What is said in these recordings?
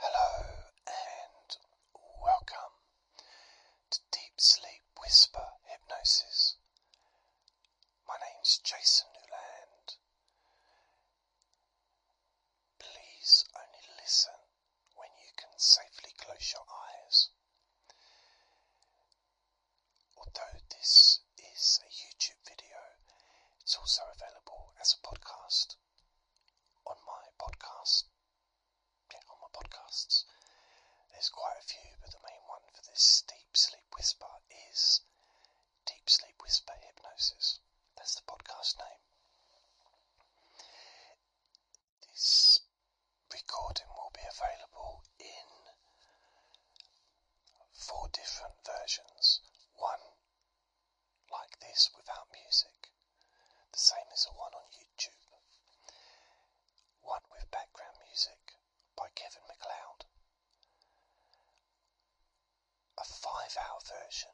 Hello and welcome to Deep Sleep Whisper Hypnosis. My name is Jason Newland. Please only listen when you can safely close your eyes. Although this is a YouTube video, it's also available as a podcast on my podcast, on my podcasts. There's quite a few, but the main one for this Deep Sleep Whisper is Deep Sleep Whisper Hypnosis. That's the podcast name. This recording will be available in four different versions. One like this without music, the same as the one on YouTube. One with background music by Kevin McLeod. A five hour version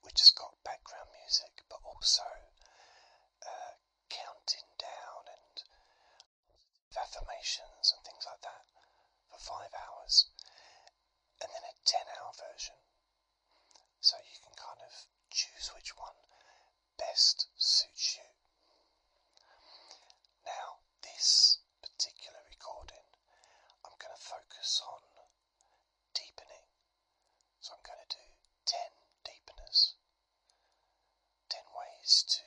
which has got background music but also uh, counting down and affirmations and things like that for five hours and then a 10 hour version. So you can kind of choose which one best suits you. Now, this particular recording, I'm going to focus on deepening. So I'm going to do 10 deepeners, 10 ways to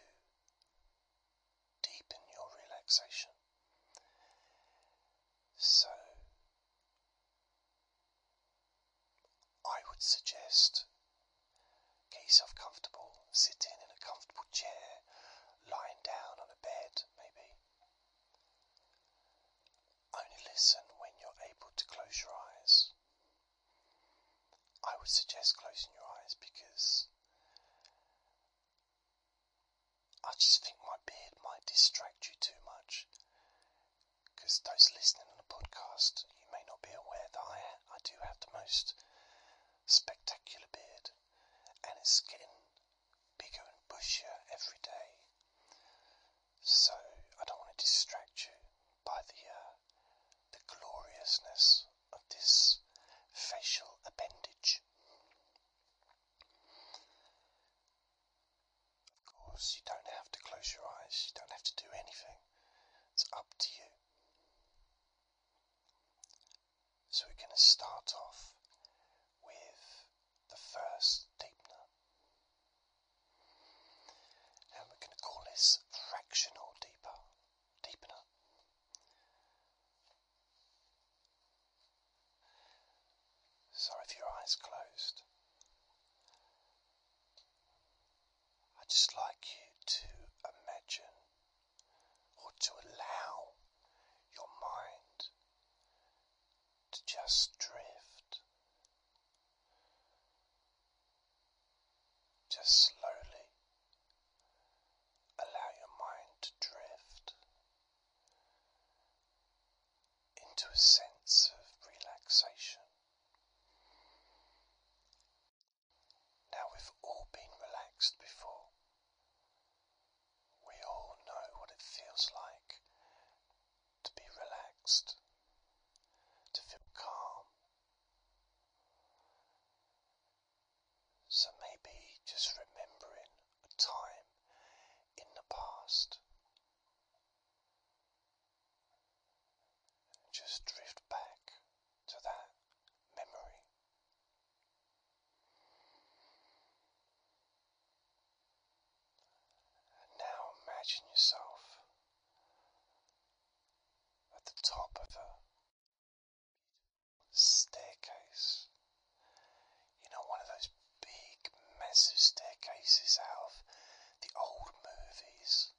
deepen your relaxation. So, I would suggest get yourself comfortable, sitting in a comfortable chair, lying down on a bed, maybe. Only listen when you're able to close your eyes. I would suggest closing your eyes because I just think my beard might distract you too much because those listening on the podcast, you may not be aware that I, do have the most spectacular beard and it's getting bigger and bushier every day. So I don't want to distract you by the uh, the gloriousness of this facial appendage. Of course, you don't have to close your eyes, you don't have to do anything, it's up to you. So, we're going to start off with the first deepener, and we're going to call this fractional deeper, deepener. Sorry if your eyes closed, I'd just like you to imagine or to allow your mind to just drift, just slowly allow your mind to drift into a sense of relaxation. Now, we've all been relaxed before. We all know what it feels like to be relaxed, to feel calm, so maybe just remembering a time in the past. And just drift back to that memory. And now imagine yourself at the top of a staircase. You know, one of those big, massive staircases out of the old movies.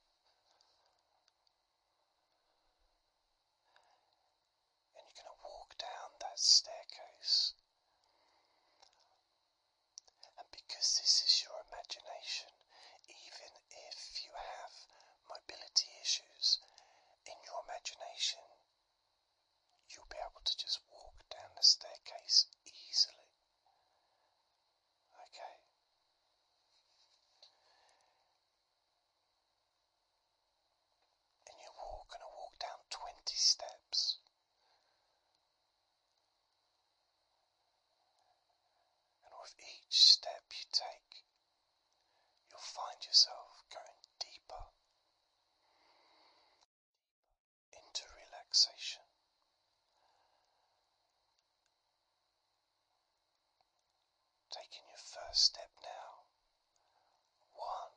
And you're going to walk down that staircase. And because this is your imagination, even if you have mobility issues, in your imagination You'll be able to just walk down the staircase easily. Okay. And you're going to walk down 20 steps. And with each step you take, you'll find yourself going deeper into relaxation. Taking your first step now. One.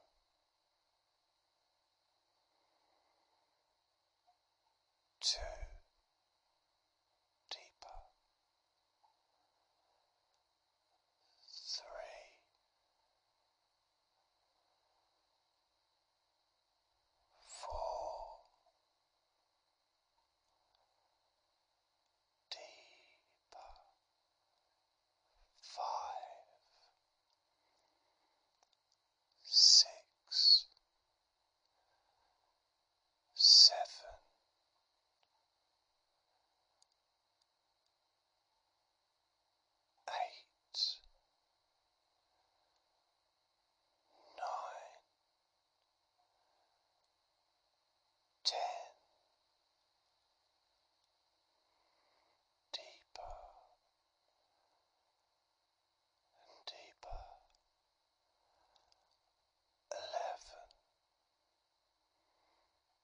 Two deeper three. Four deeper five six seven eight, nine, ten. Deeper and deeper, eleven,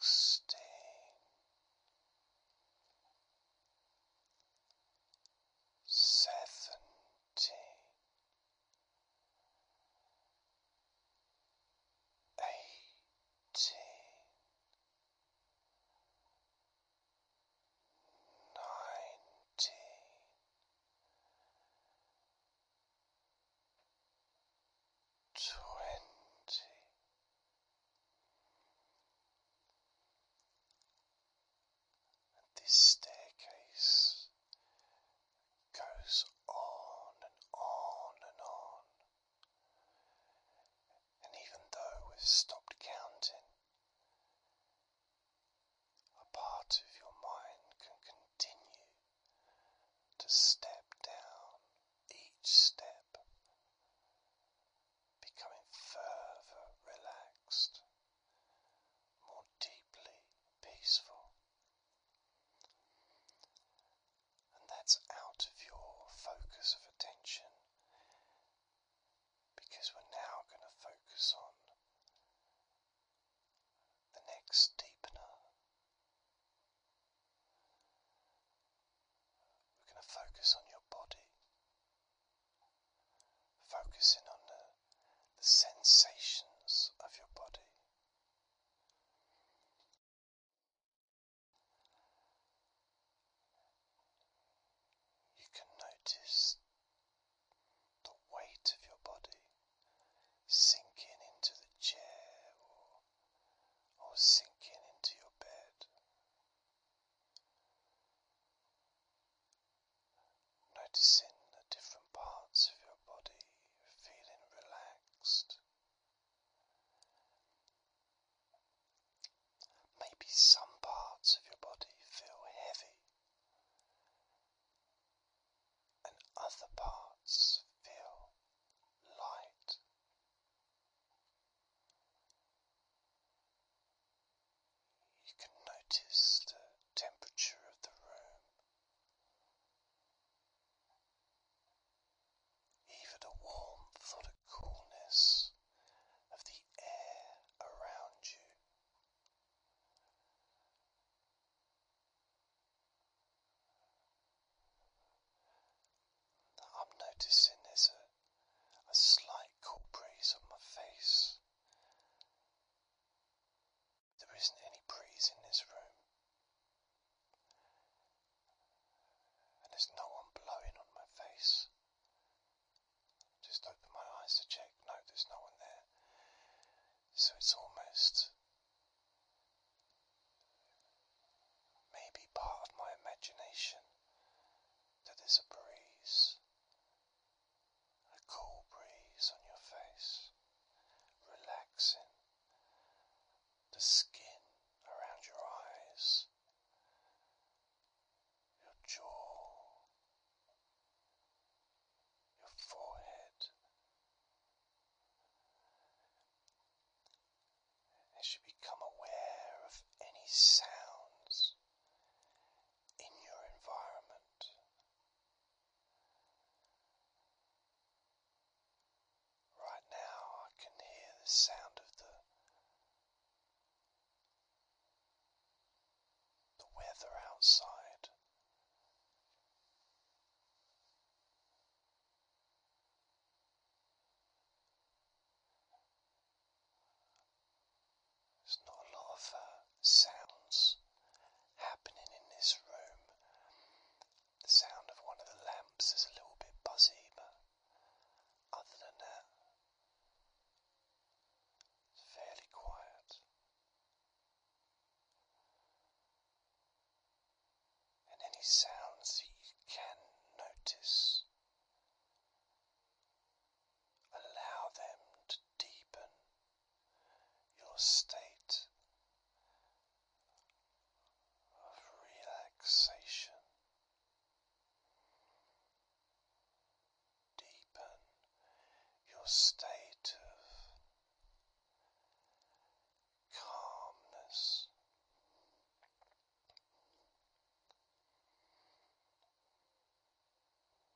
sixteen. Seventeen, eighteen, nineteen, twenty. And this staircase goes on and on and on. And even though we've stopped counting, a part of your mind can continue to step down each step becoming further relaxed, more deeply peaceful. And that's out of your focus of attention because we're now going to focus on the next deepener, we're going to focus on your body, focusing on the, sensations of your body. You can notice the weight of your body sinking into the chair or sinking into your bed. Noticing the different parts of your body feeling relaxed. Maybe some parts of your body feel heavy and other parts feel light. You can notice the temperature of the room, even the warmth or the coolness of the air around you that I'm noticing there's a, a slight cool breeze on my face. There isn't any breeze in this room, and there's no one blowing on my face. Just open my eyes to check. No, there's no one there. So it's almost Maybe part of my imagination that is a breeze, a cool breeze on your face, relaxing the skin around your eyes, your jaw, your forehead as you become aware of any sounds in your environment. Right now, I can hear the sound of the the weather outside. There's not a lot of uh, sounds happening in this room. The sound of one of the lamps is a little bit buzzy, but other than that, it's fairly quiet and any sounds you can notice. Allow them to deepen your state of relaxation. Deepen your state of calmness.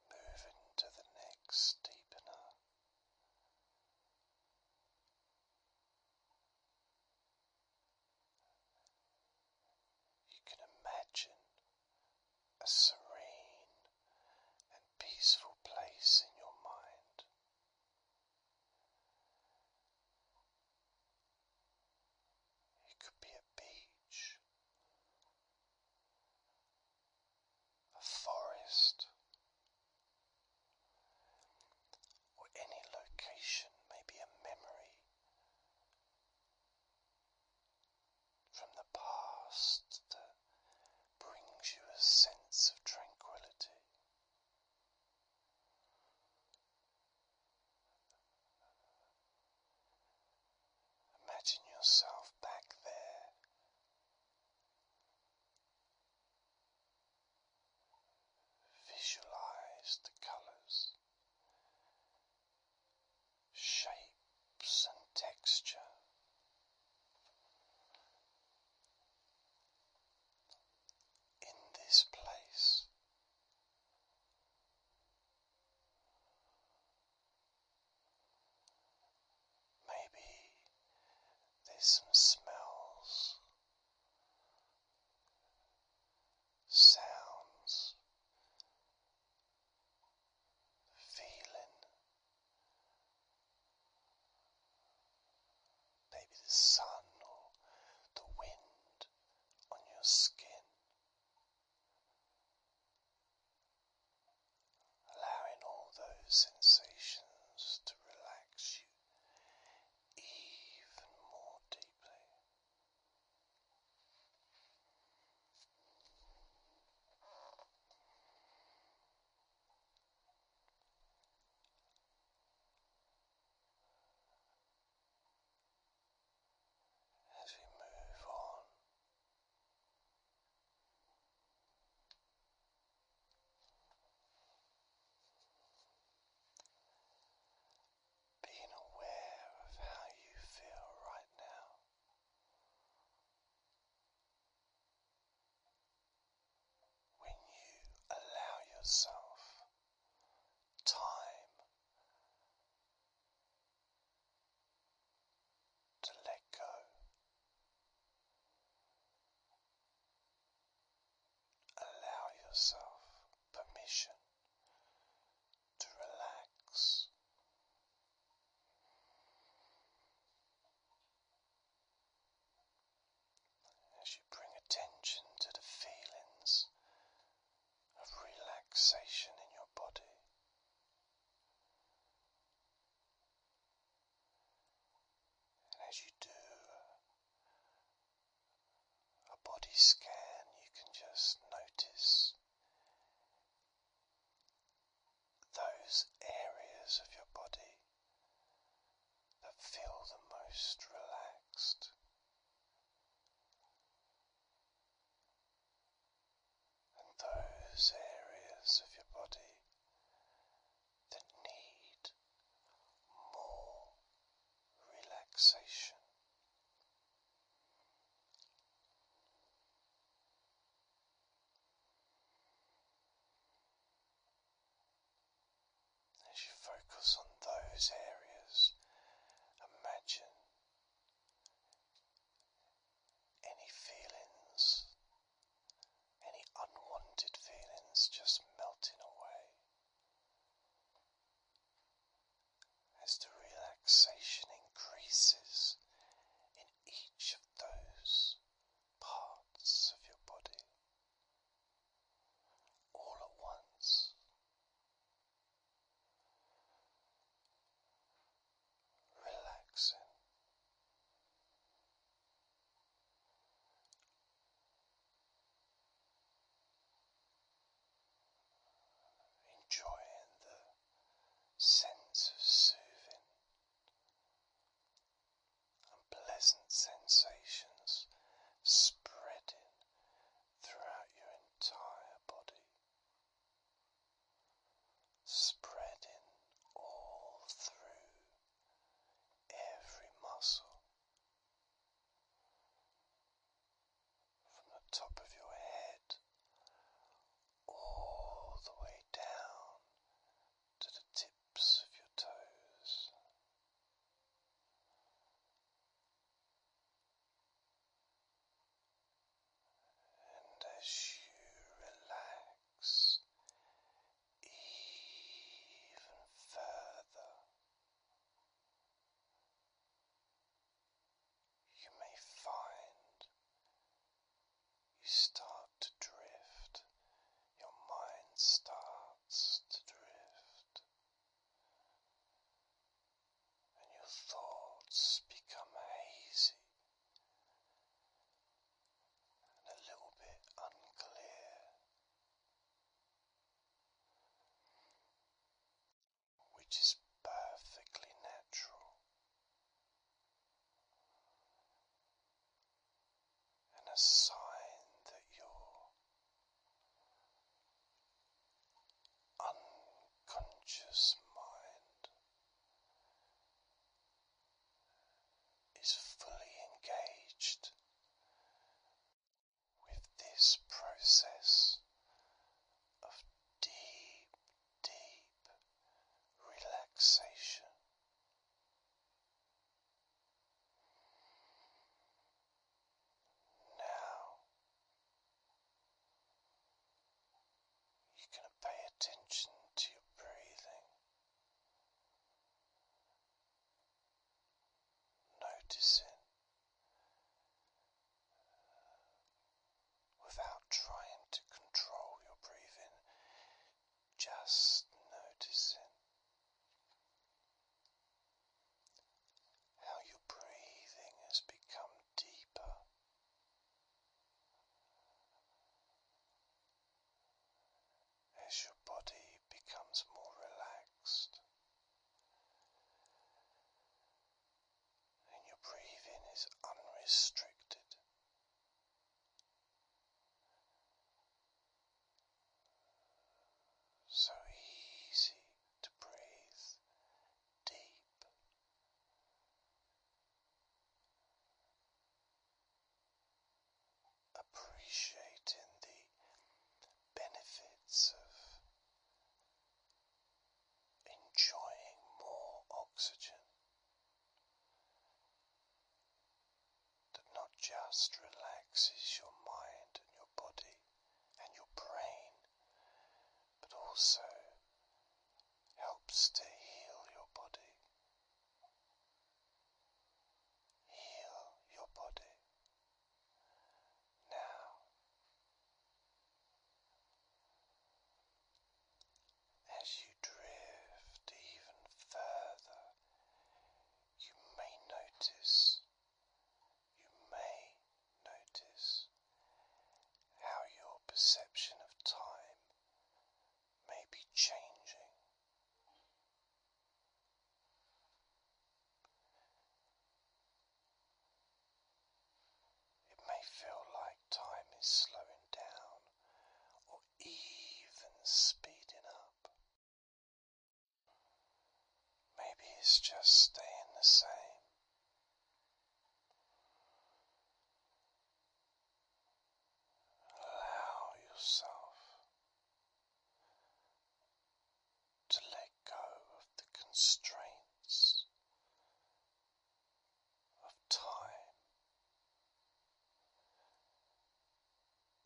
Moving to the next deepener. You can imagine a serene and peaceful place in your mind. It could be a beach, a forest, or any location, maybe a memory from the past that brings you a sense of tranquility. Imagine yourself back there. Visualize the colors, shapes, and texture. In this place, Maybe there's some smells, sounds, feeling. Maybe the sun or the wind on your skin, allowing all those sensations to relax you even more deeply as we move on. Being aware of how you feel right now. When you allow yourself time to let go allow yourself permission to relax as you bring attention to the feelings of relaxation in your body. And as you do a body scan, you can just notice those areas of your body that feel the most relaxed. And those areas of your body that need more relaxation. As you focus on those areas, imagine any feelings, any unwanted feelings just melting away as the relaxation increases in each of those parts of your body all at once relaxing. Enjoying the sense soothing and pleasant sensations spreading throughout your entire body, spreading all through every muscle from the top of your head all the way down to the tips of your toes. And as you relax even further, you may find you start to drift, your mind starts to drift and your thoughts become hazy and a little bit unclear. Which is perfectly natural and a sign that you're unconscious mind is fully engaged with this process of deep, deep relaxation. Now you can pay attention to your breathing. Noticing uh, without trying to control your breathing, just noticing how your breathing has become deeper. As your body becomes more relaxed and your breathing is unrestricted, so easy to breathe deep. Appreciating the benefits of enjoying more oxygen that not just relaxes your mind and your body and your brain, but also helps to heal your body. Heal your body now. As you drift even further, you may notice you may notice how your perception of time may be changing. It may feel like time is slowing down or even speeding up. Maybe it's just staying the same. Allow yourself to let go of the constraints of time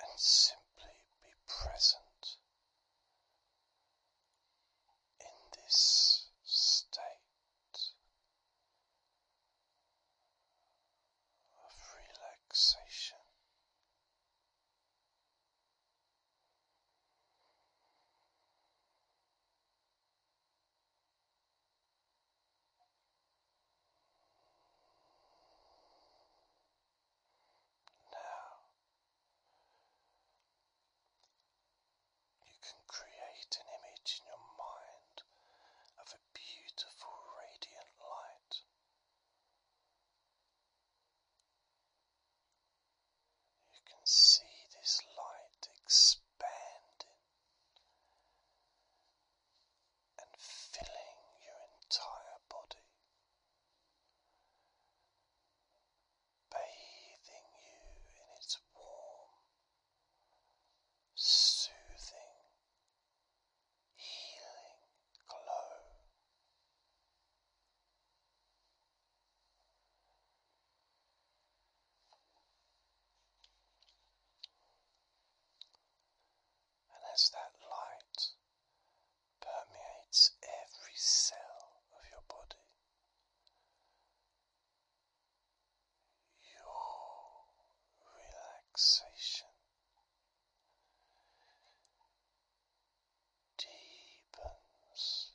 and simply be present in this state of relaxation. Now you can create an image in your mind of a beautiful, radiant light. You can see this light expanding and filling your entire body bathing you in its warm, soothing, healing glow. And as that light permeates every cell of your body. Your relaxation deepens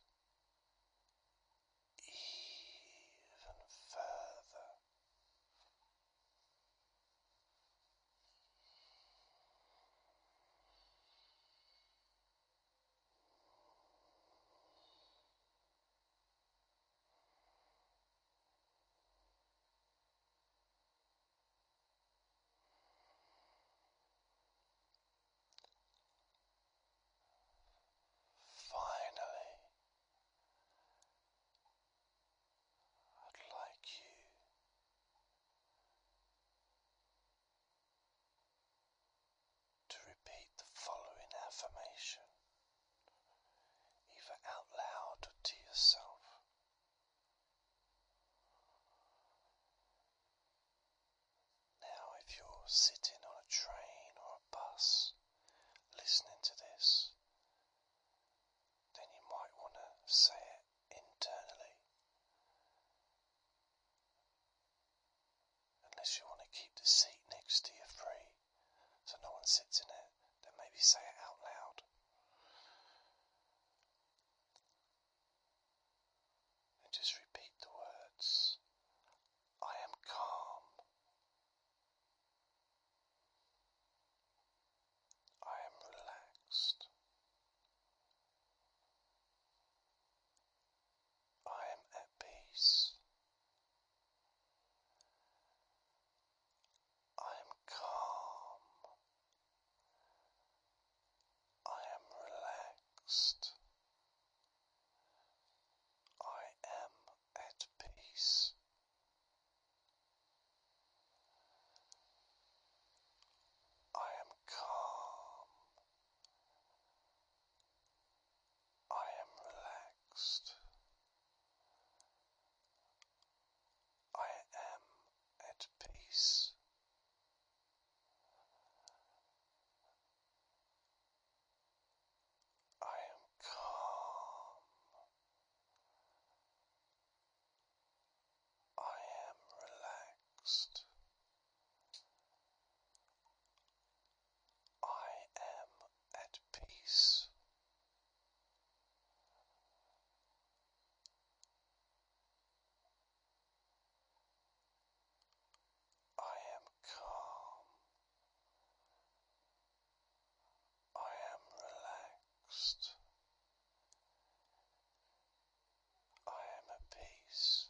even further. Finally, i like you to repeat the following affirmation, either out loud or to yourself. Now, if you're sitting on a train or a bus listening to this, then you might want to say it internally Unless you want to keep the seat next to you free so no one sits in it, then maybe say it out loud. And just repeat the words I am calm. I am relaxed. I am at peace. I am calm. I am relaxed. I am at peace. I am calm. I am relaxed. I am at peace. I am calm. I am relaxed. I am at peace. I am calm. I am relaxed. I am at peace.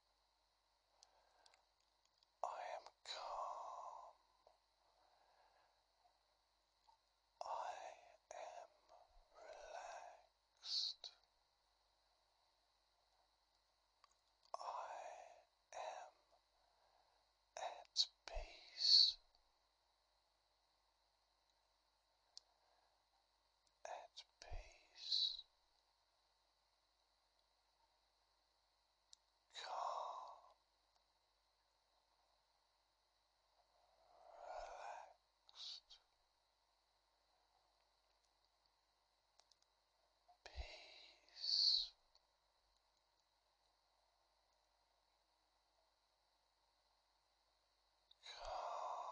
I am calm. I am relaxed. I am at peace at peace, calm, relaxed, peace. Calm,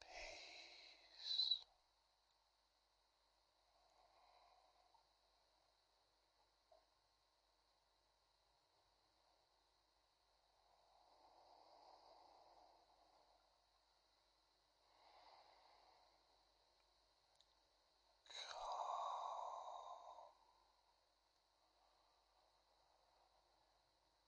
peace. Calm.